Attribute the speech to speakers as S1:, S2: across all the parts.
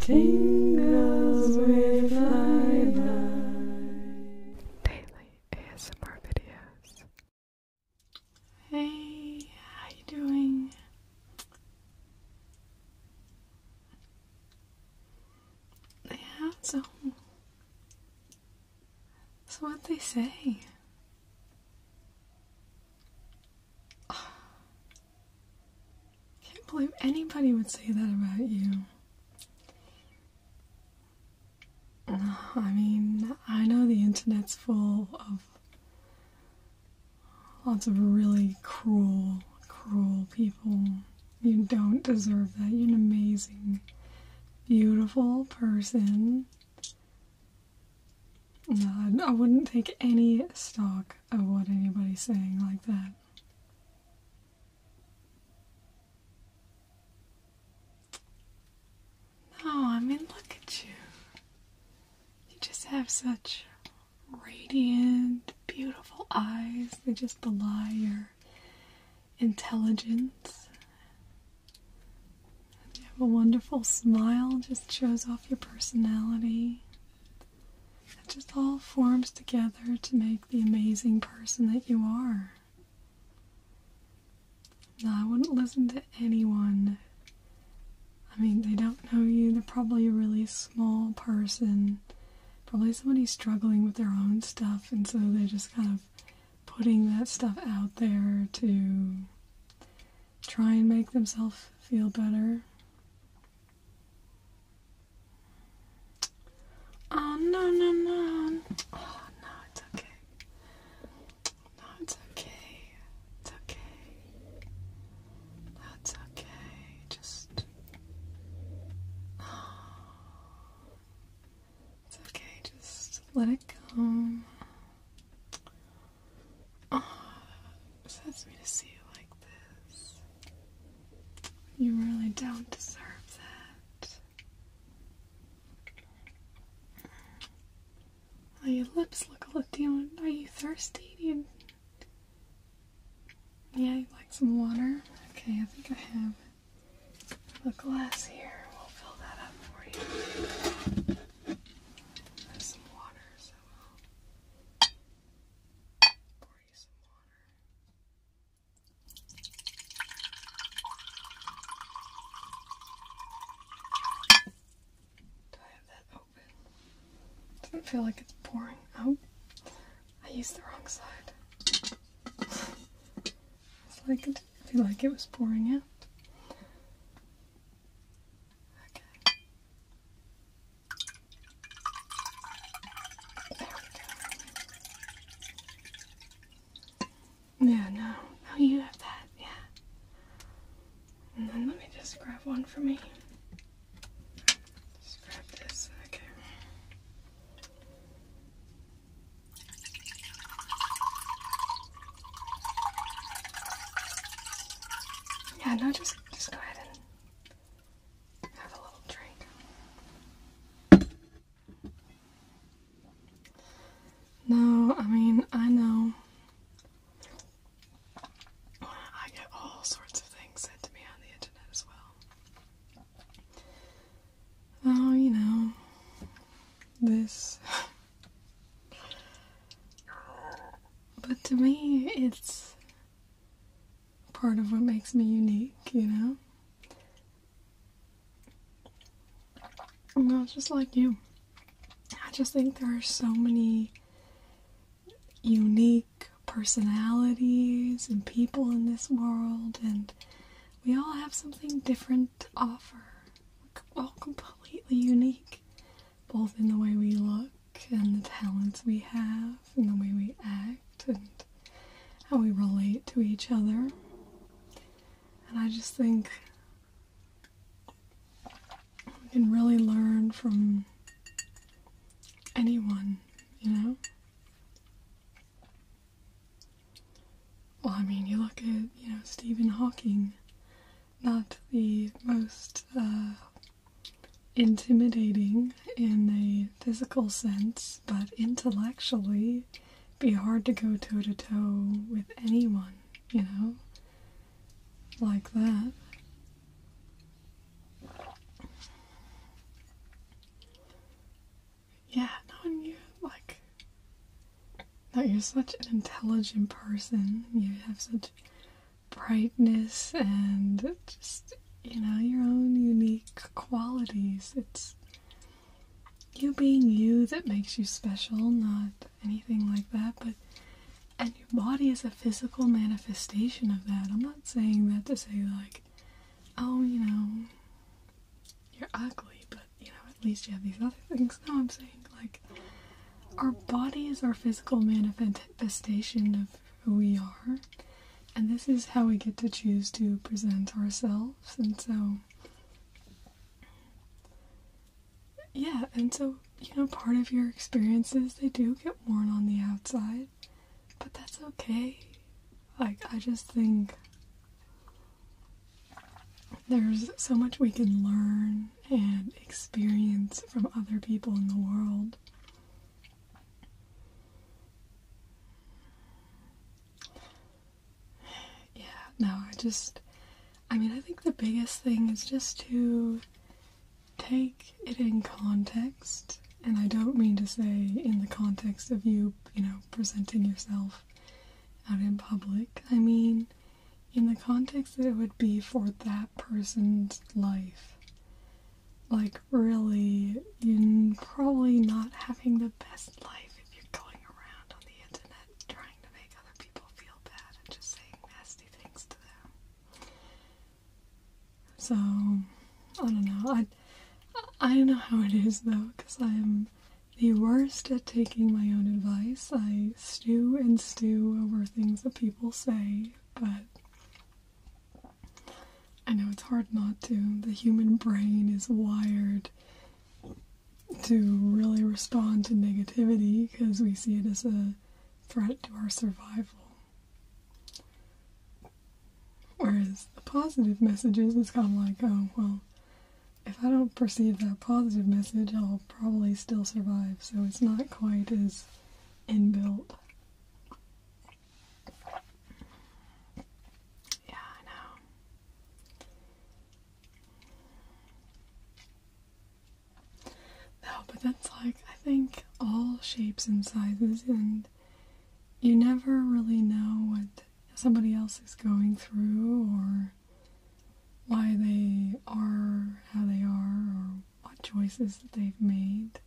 S1: Tingles with Lilac. Daily ASMR videos. Hey, how you doing? Yeah, so so what they say. I can't believe anybody would say that about you. I mean, I know the internet's full of lots of really cruel, cruel people. You don't deserve that. You're an amazing, beautiful person. No, I wouldn't take any stock of what anybody's saying like that. No, I mean, look at you. You just have such radiant, beautiful eyes. They just belie your intelligence. you have a wonderful smile, just shows off your personality. It just all forms together to make the amazing person that you are. Now I wouldn't listen to anyone. I mean, they don't know you, they're probably a really small person, probably somebody struggling with their own stuff, and so they're just kind of putting that stuff out there to try and make themselves feel better. Oh no no no! Oh no, it's okay. No, it's okay. It's okay. That's okay. Just. It's okay. Just let it go. Oh, it sends me to see you like this. You really don't deserve that. Well, your lips look a little. Do are you thirsty? yeah, you like some water? Okay, I think I have a glass here. We'll fill that up for you. some water, so Pour you some water. Do I have that open? Doesn't feel like it's pouring out. I used the wrong side. It's like it didn't feel like it was pouring out. Okay. Yeah, no. Oh, you have that, yeah. And then let me just grab one for me. Just grab this, okay. Yeah, no, just just go ahead and have a little drink. No, I mean, I know. I get all sorts of things said to me on the internet as well. Oh, you know, this. but to me, it's part of what makes me unique, you know? I'm not just like you. I just think there are so many unique personalities and people in this world, and we all have something different to offer. We're all completely unique, both in the way we look and the talents we have and the way we act and how we relate to each other. And I just think we can really learn from anyone, you know? Well, I mean, you look at, you know, Stephen Hawking, not the most uh, intimidating in a physical sense, but intellectually be hard to go toe to toe with anyone, you know? Like that. Yeah, no, and you like no, you're such an intelligent person. You have such brightness and just you know your own unique qualities. It's you being you that makes you special, not anything like that, but and your body is a physical manifestation of that. I'm not saying that to say like, oh, you know, you're ugly, but you know, at least you have these other things. No, I'm saying like our body is our physical manifestation of who we are. And this is how we get to choose to present ourselves. And so, yeah, and so, you know, part of your experiences, they do get worn on the outside, but that's okay. Like, I just think there's so much we can learn and experience from other people in the world. Yeah, no, I just, I mean, I think the biggest thing is just to take it in context. And I don't mean to say in the context of you, you know, presenting yourself out in public. I mean, in the context that it would be for that person's life like really you're probably not having the best life if you're going around on the internet trying to make other people feel bad and just saying nasty things to them. So I don't know. I I know how it is though, because I am the worst at taking my own advice. I stew and stew over things that people say, but I know it's hard not to. The human brain is wired to really respond to negativity because we see it as a threat to our survival. Whereas the positive messages, it's kind of like, oh, well, if I don't perceive that positive message, I'll probably still survive. So it's not quite as inbuilt. Yeah, I know. No, but that's like, I think, all shapes and sizes, and you never really know what somebody else is going through or why they are how they are or what choices that they've made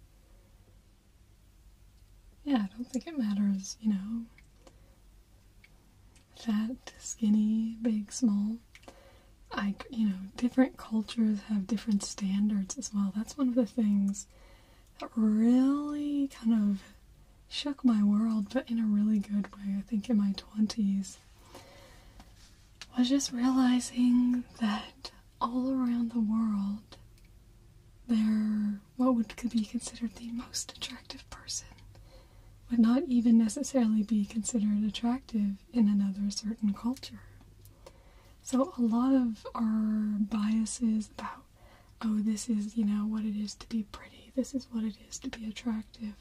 S1: yeah, I don't think it matters, you know, fat, skinny, big, small. I, you know, different cultures have different standards as well. That's one of the things that really kind of shook my world, but in a really good way, I think in my 20s. Was just realizing that all around the world, there what would could be considered the most attractive person would not even necessarily be considered attractive in another certain culture. So a lot of our biases about oh this is, you know, what it is to be pretty, this is what it is to be attractive.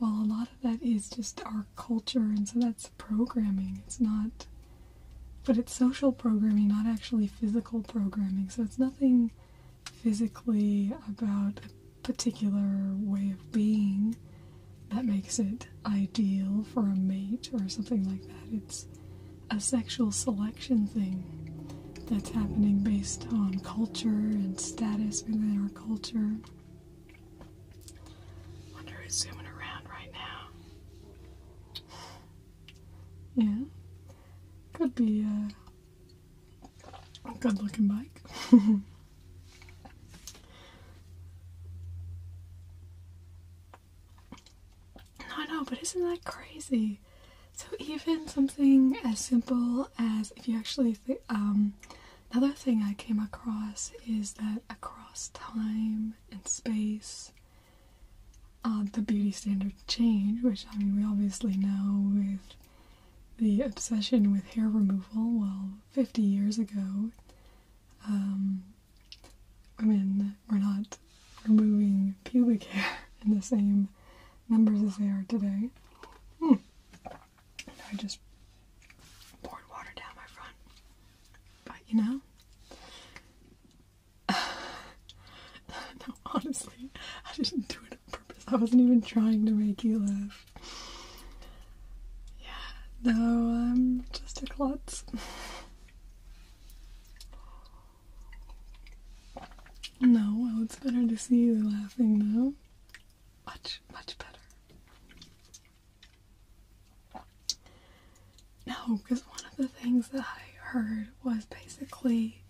S1: Well, a lot of that is just our culture and so that's programming. It's not but it's social programming, not actually physical programming. So it's nothing physically about a particular way of being that makes it ideal for a mate or something like that. It's a sexual selection thing that's happening based on culture and status within our culture. Wonder who's zooming around right now yeah, could be a good looking bike. I know, but isn't that crazy? So even something as simple as if you actually um, another thing I came across is that across time and space uh, the beauty standard change, which I mean, we obviously know with the obsession with hair removal. Well, 50 years ago, um, women were not removing pubic hair in the same numbers as they are today. Hmm. I just poured water down my front. But you know, no, honestly, I didn't do it on purpose. I wasn't even trying to make you laugh. Yeah, no, I'm um, just a klutz. no, well, it's better to see you laughing now. Much, much better. No, because one of the things that I heard was basically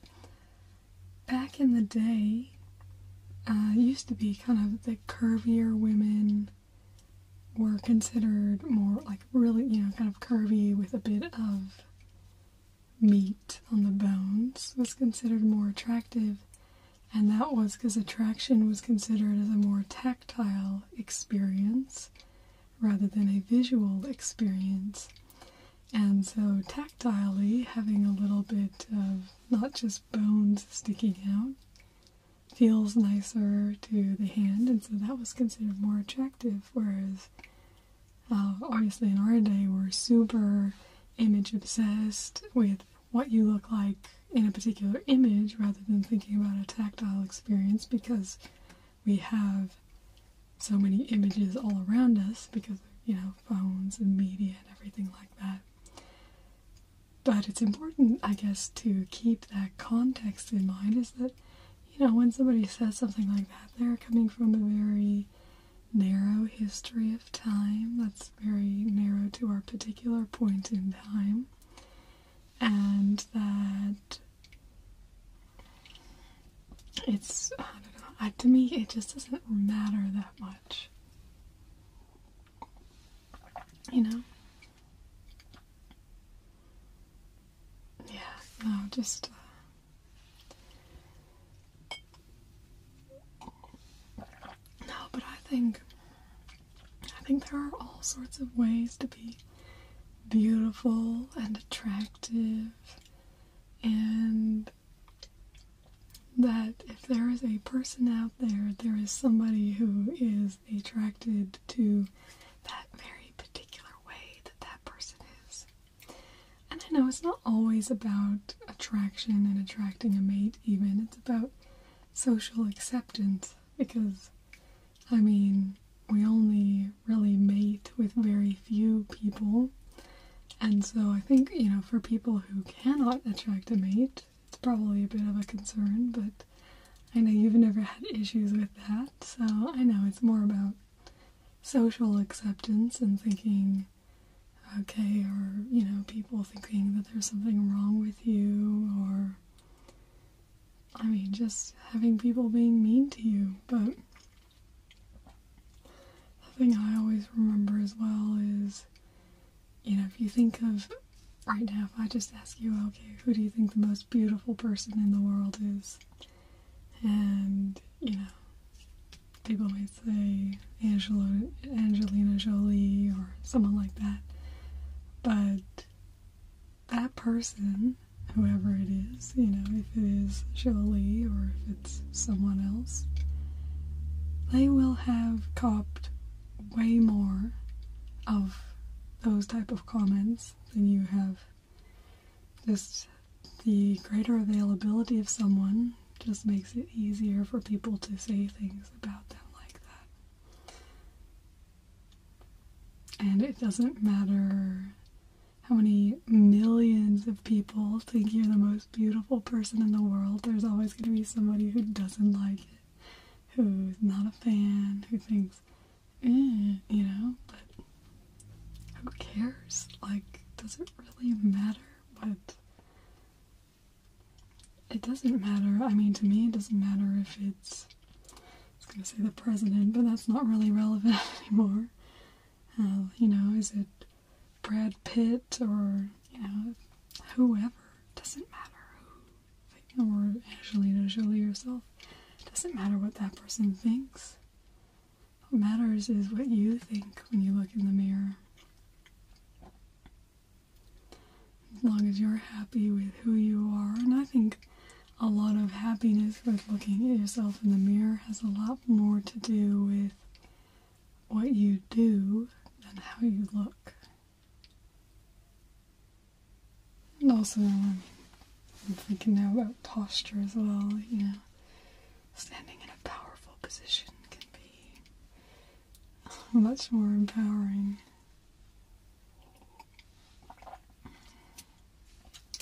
S1: back in the day, uh, used to be kind of the curvier women were considered more like really, you know, kind of curvy with a bit of meat on the bones was considered more attractive. And that was because attraction was considered as a more tactile experience rather than a visual experience. And so, tactilely, having a little bit of not just bones sticking out feels nicer to the hand, and so that was considered more attractive. Whereas, uh, obviously, in our day, we're super image obsessed with what you look like in a particular image rather than thinking about a tactile experience because we have so many images all around us because you know phones and media and everything like that but it's important i guess to keep that context in mind is that you know when somebody says something like that they're coming from a very narrow history of time that's very narrow to our particular point in time and that it's I don't know. to me, it just doesn't matter that much. You know? Yeah. No, just. Uh, no, but I think I think there are all sorts of ways to be beautiful and attractive, and that if there is a person out there, there is somebody who is attracted to that very particular way that that person is. And I know it's not always about attraction and attracting a mate, even, it's about social acceptance because, I mean, we only really mate with very few people. And so I think, you know, for people who cannot attract a mate, it's probably a bit of a concern, but I know you've never had issues with that. So I know it's more about social acceptance and thinking, okay, or, you know, people thinking that there's something wrong with you or I mean, just having people being mean to you. But the thing I always remember as well is, you know, if you think of right now, if I just ask you, okay, who do you think the most beautiful person in the world is? And, you know, people might say Angelina Jolie or someone like that. But that person, whoever it is, you know, if it is Jolie or if it's someone else, they will have copped way more of those type of comments than you have. Just the greater availability of someone just makes it easier for people to say things about them like that. And it doesn't matter how many millions of people think you're the most beautiful person in the world, there's always going to be somebody who doesn't like it, who's not a fan, who thinks, eh, you know, but who cares? Like, does it really matter But It doesn't matter. I mean, to me, it doesn't matter if it's I was going to say the president, but that's not really relevant anymore. Uh, you know, is it Brad Pitt or, you know, whoever? Doesn't matter who, or Angelina Jolie herself. Doesn't matter what that person thinks. What matters is what you think when you look in the mirror. As long as you're happy with who you are, and I think a lot of happiness with looking at yourself in the mirror has a lot more to do with what you do than how you look. And also, I'm thinking now about posture as well, you know, standing in a powerful position can be much more empowering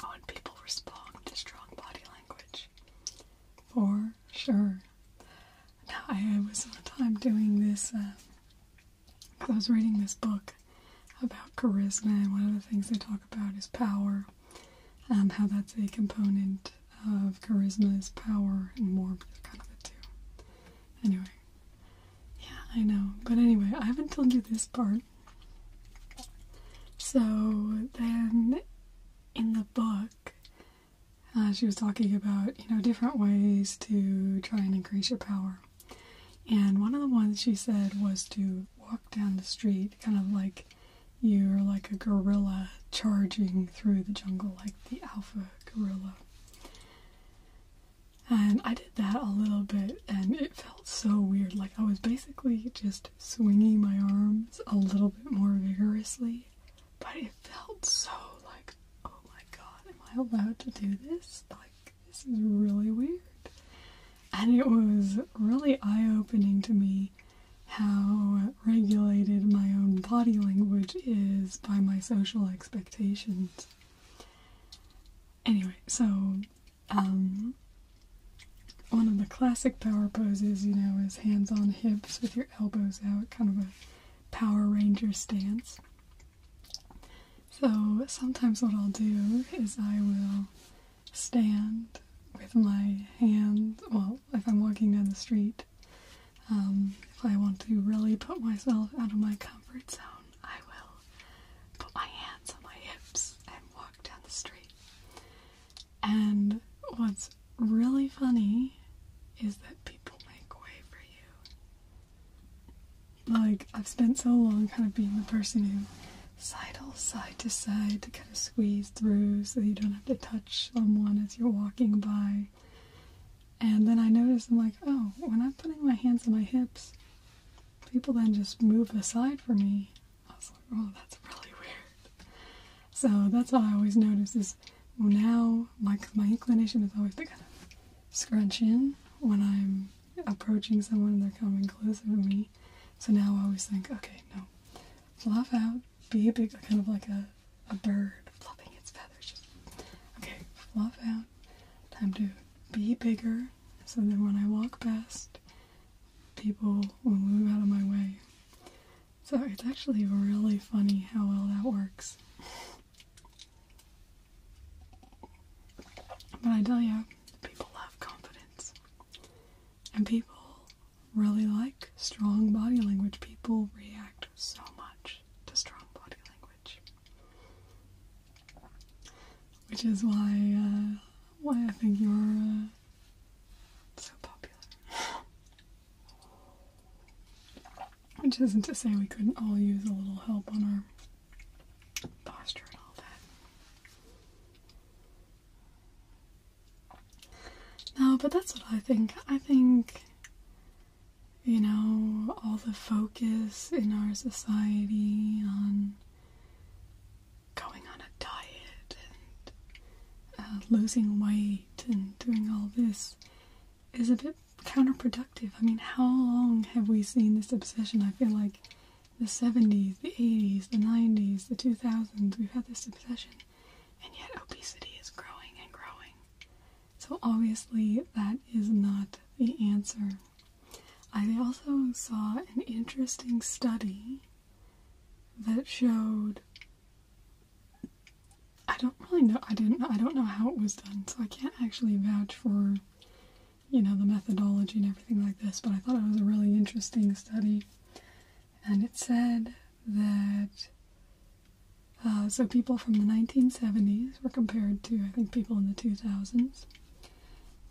S1: Oh, and people respond to strong body language. For sure. I was one time doing this, uh, I was reading this book about charisma, and one of the things they talk about is power, um, how that's a component of charisma is power and warmth, kind of the two. Anyway, yeah, I know. But anyway, I haven't told you this part. So then in the book, uh, she was talking about, you know, different ways to try and increase your power. And one of the ones she said was to walk down the street, kind of like you're like a gorilla charging through the jungle, like the alpha gorilla. And I did that a little bit, and it felt so weird. Like I was basically just swinging my arms a little bit more vigorously, but it felt so like, oh my god, am I allowed to do this? Like, this is really weird. And it was really eye opening to me how regulated my own body language is by my social expectations. Anyway, so um, one of the classic power poses, you know, is hands on hips with your elbows out, kind of a Power Ranger stance. So sometimes what I'll do is I will stand with my hands. well, if I'm walking down the street, um, if I want to really put myself out of my comfort zone, I will put my hands on my hips and walk down the street. And what's really funny is that people make way for you. Like, I've spent so long kind of being the person who sidle side to side to kind of squeeze through so you don't have to touch someone as you're walking by. And then I notice I'm like, oh, when I'm putting my hands on my hips, people then just move aside for me. I was like, oh, that's really weird. So that's all I always notice is now my, my inclination is always to kind of scrunch in when I'm approaching someone and they're coming closer to me. So now I always think, okay, no, fluff out, be a big, kind of like a, a bird fluffing its feathers. Just, okay, fluff out, time to be bigger. So then when I walk past, people will move out of my way. So it's actually really funny how well that works. But I tell you, people love confidence. And people really like strong body language. People react so much to strong body language which is why uh, why I think you're uh, so popular. Which isn't to say we couldn't all use a little help on our posture and all that. No, but that's what I think. I think, you know, all the focus in our society on going on a diet and uh, losing weight and doing all this is a bit counterproductive. I mean, how long have we seen this obsession? I feel like the 70s, the 80s, the 90s, the 2000s, we've had this obsession, and yet obesity is growing and growing. So, obviously, that is not the answer. I also saw an interesting study that showed I don't really know I didn't I don't know how it was done, so I can't actually vouch for you know the methodology and everything like this, but I thought it was a really interesting study. And it said that uh, so people from the 1970s were compared to I think people in the 2000s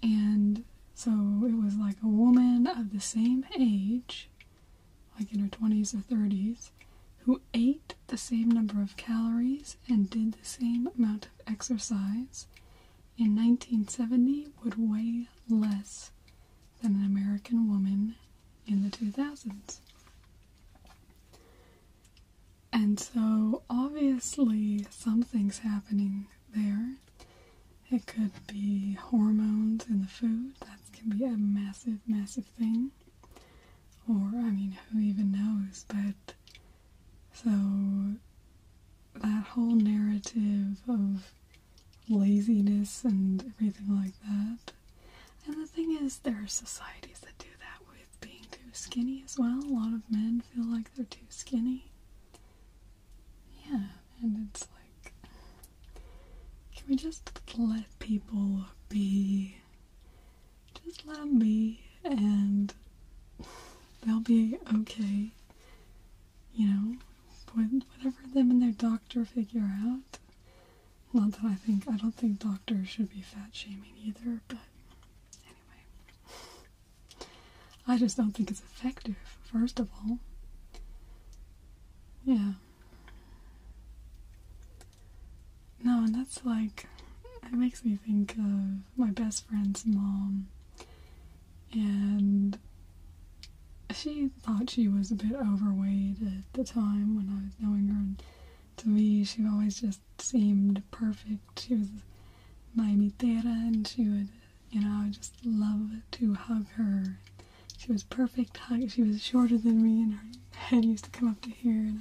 S1: and so it was like a woman of the same age, like in her 20s or 30s, who ate the same number of calories and did the same amount of exercise in 1970 would weigh less than an American woman in the 2000s. And so obviously something's happening there. It could be hormones in the food. That can be a massive, massive thing. Or, I mean, who even knows? But so that whole narrative of laziness and everything like that. And the thing is, there are societies that do that with being too skinny as well. A lot of men feel like they're too skinny. Yeah, and it's like, can we just let people be? Just let them be, and they'll be okay. You know, whatever them and their doctor figure out. Not that I think, I don't think doctors should be fat shaming either, but anyway. I just don't think it's effective, first of all. Yeah. No, and that's like, it makes me think of my best friend's mom. And she thought she was a bit overweight at the time when I was knowing her. And to me, she always just seemed perfect. She was Miami mitera, and she would you know, I just loved to hug her. She was perfect She was shorter than me, and her head used to come up to here, and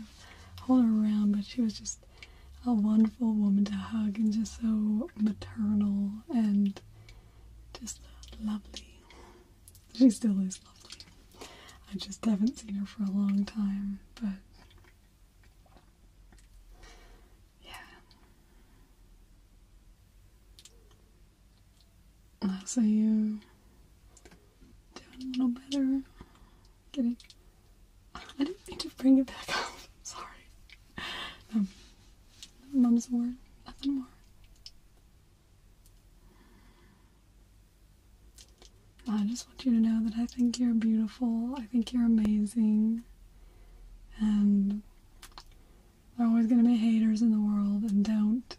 S1: I'd hold her around. But she was just a wonderful woman to hug, and just so maternal and just lovely. She still is lovely. I just haven't seen her for a long time, but yeah. Looks you doing a little better. Getting I didn't mean to bring it back up. Sorry. Um mum's word, nothing more. I just want you to know that I think you're beautiful. I think you're amazing. And there's always going to be haters in the world, and don't,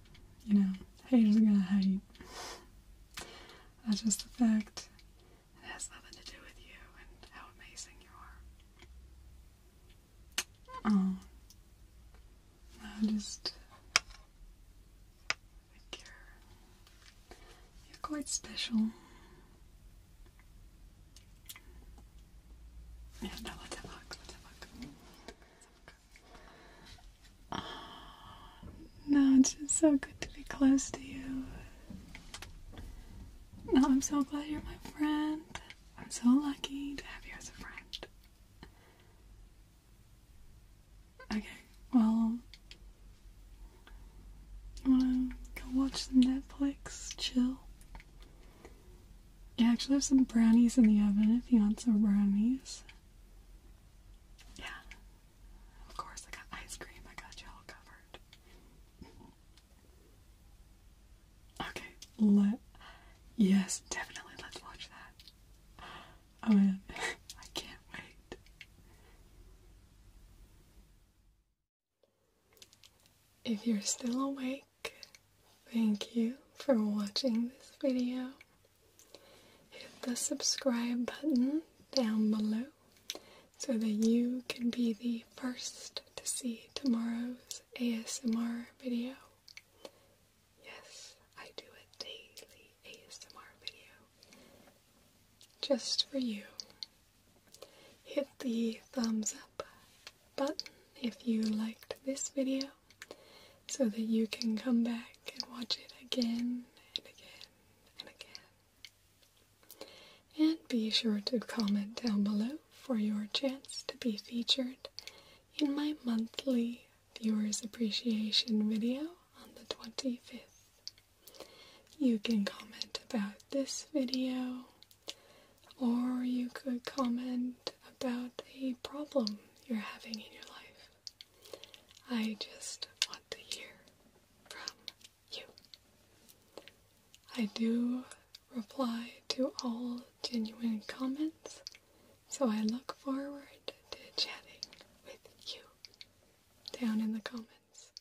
S1: you know, haters are going to hate. That's just a fact. It has nothing to do with you and how amazing you are. Um, I just think you're, you're quite special. Yeah, no, let's have ah, no, it's just so good to be close to you. No, I'm so glad you're my friend. I'm so lucky to have you as a friend. Okay, well, wanna go watch some Netflix, chill. I actually have some brownies in the oven if you want some brownies. Yeah. Of course, I got ice cream. I got you all covered. Okay, let. Yes, definitely. Let's watch that. Oh man, I can't wait. If you're still awake, thank you for watching this video. Hit the subscribe button down below so that you can be the first to see tomorrow's ASMR video. Yes, I do a daily ASMR video just for you. Hit the thumbs up button if you liked this video so that you can come back and watch it again and again and again. And be sure to comment down below for your chance to be featured in my monthly viewers appreciation video on the 25th. You can comment about this video, or you could comment about a problem you're having in your life. I just want to hear from you. I do reply to all genuine comments, so I look forward to chatting with you down in the comments.